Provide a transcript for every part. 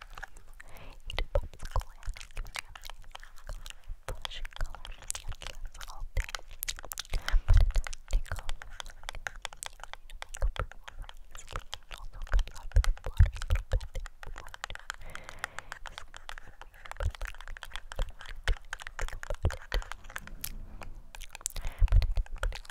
Eat a popsicle and blush and colors and kiss all day. But it does tickle. Like, you know, makeup remover is clean and also comes out with the water a little bit. It's hard. But it's like, you know, it's hard to think about it. But it is pretty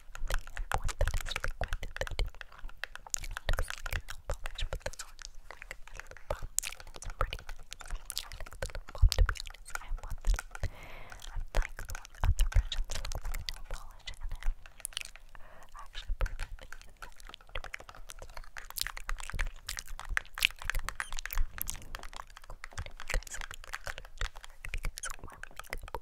one that is liquid that looks like nail polish, but this one is like a lip balm, and it's pretty nice. I like the lip balm, to be honest. I want this. I like the one other version that looks like a nail polish, and I actually prefer these, to be honest. I you guys want me to color to work because all my makeup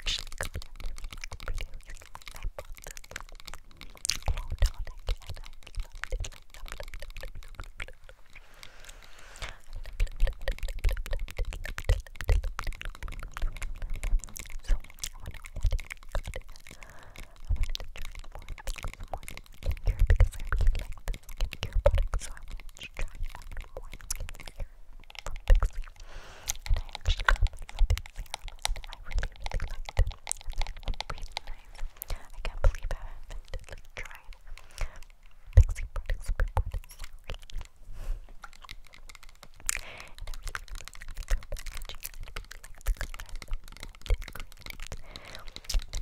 actually got it. I bought this quote on it and I loved it. I loved it, loved it, loved it, loved it. So, I went ahead and got it. I wanted to try more, I think some more skincare because I really like the skincare products, so I wanted to try out more skincare from Pixie. And I actually got my lovely serum and I really, really liked it. And that was really nice. I can't believe I haven't like tried Pixie products before this. And I really, really like the packaging. I really like the color and the mint green. The mint green is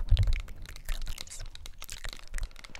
one of my favorite colors. I really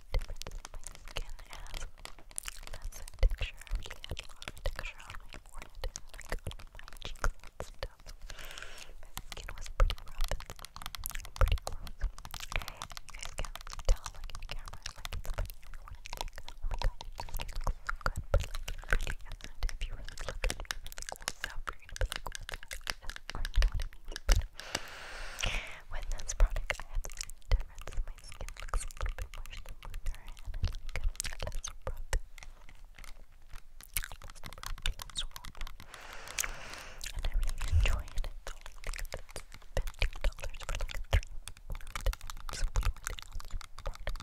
difference my skin has less texture. I a lot on my forehead on my cheeks My skin was pretty rough pretty close. You guys can tell like in the camera, like it's funny everyone my skin looks so good, but like it really is you really look at this? product, I had such a difference in my my skin looks a little bit more smoother and I like it less rough. Less rough, less rough. And I really enjoy it. It's only dollars for like a three-point supplement product. And I'm pretty, I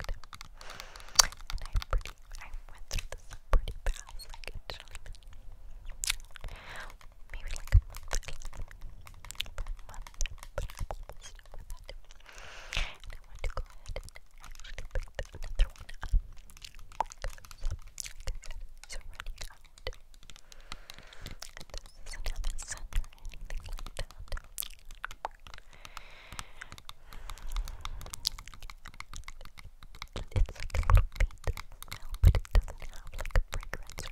went through this pretty fast, maybe like a month per month, i want to go ahead and pick another one up because, like I said, it's already out. This is or anything like that. It's like a little beat but it doesn't have like a fragrance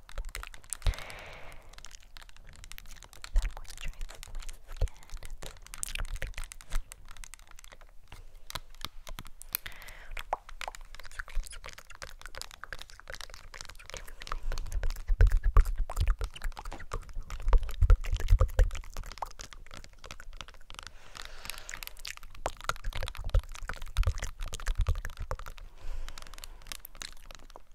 That moisturizes my skin. It's really Thank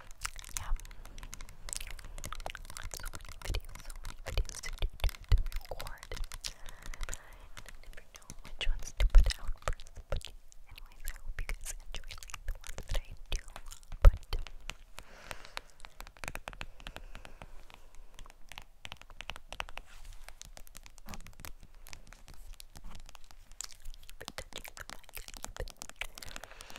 yeah. So many videos, so many videos to, do, to, record. And never know which ones to put out But anyways, I hope you guys enjoy the ones that I do put. Touching the mic,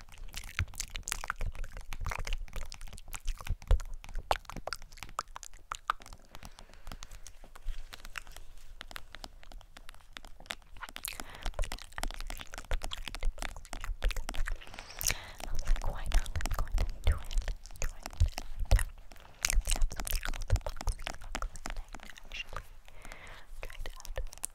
I was like, why not? Let's go ahead and do it. Do it. Yeah. We have something called the boxing box at night, actually. Try it out.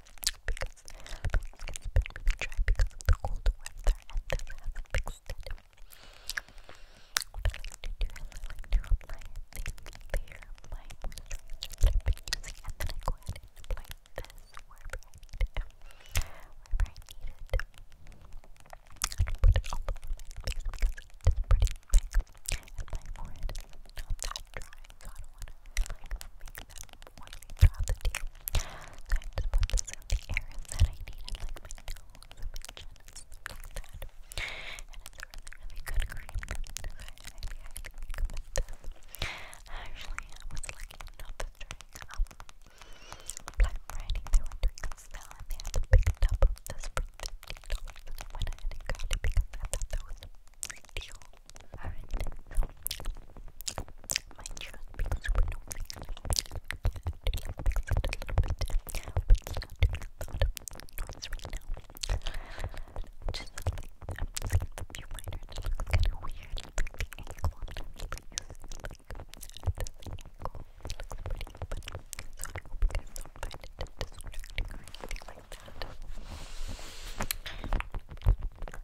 because it's been really dry because of the cold weather and this hasn't fixed it. What I like to do is I like to apply a thin layer that I've been using and then I go ahead and apply this wherever I need it. I need put it all over my face because it's pretty thick and my forehead is that dry so I don't want to make brought the tea. So I just put this the area that I needed, like my nose my chin and a really, really good cream. Actually, I was lucky enough to drink um, Friday. They were doing a sale and they had a big of this for $15. And I went ahead and got it because I thought that was a Alright, so my chest being super noisy. Just I'm just gonna flip your minor, it looks kind of weird. Like the ankle on the like the ankle looks pretty but so I hope you guys don't find it distracting or anything like that.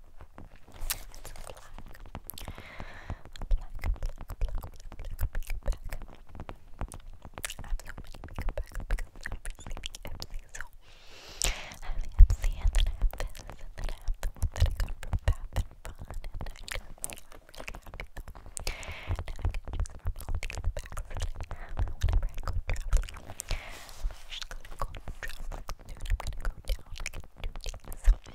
It's black. Black, black, black, black, I have so many makeup bags I'm receiving everything. So I have Ipsy and then I have this and then I have the one that I got from Bath and Fun and I just, I'm really happy though. And I can choose from all these bags that I have and whenever I go traveling. I'm gonna go traveling I'm gonna go down like in two days. So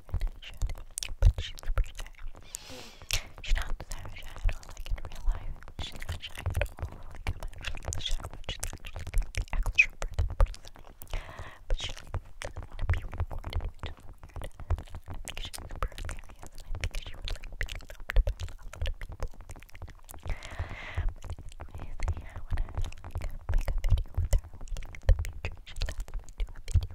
feminine shadow, but she's super shy. She's not that shy at all, like in real life. She's not shy at all, like in my life. she's actually like the extroverted person. But she doesn't want to be recorded, which is weird. I think she's super serious, and I think she would like being a lot of people. But anyways, yeah, make a video with her, like in the future, she lets me do a video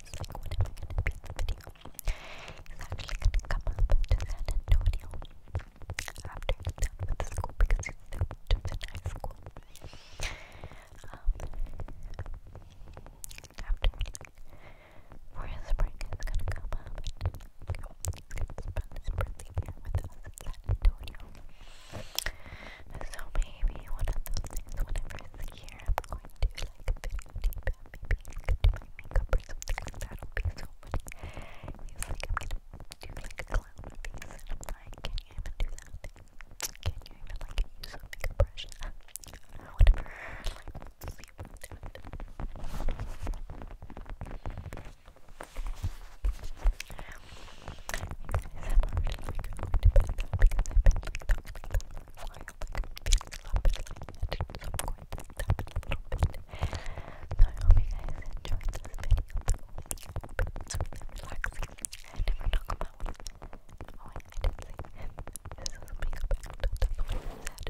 guys recorded my Olympians video is actually going to come up to San Antonio after he's done with the school because he's done in high school. Um, after for his spring is going to come up and you know, he's going to spend his birthday here with us in San Antonio. So maybe one of those things, whenever here, I'm going to do like a video deep down, maybe I could do my makeup or something like that, it'll be so funny. He's like, I'm gonna do like a clown face, and I'm like, can you even do that? Can you even like use a makeup brush? Uh, whatever, like, see if we do it. You guys, I'm already like going to bed now because I've been like talking like this I hope I can fix it up a little bit. So I'm going to stop it a little bit. So I hope you guys enjoyed this video. It's really relaxing. I never talk about it. Oh, I didn't say this is a makeup act. That's what I said. I'm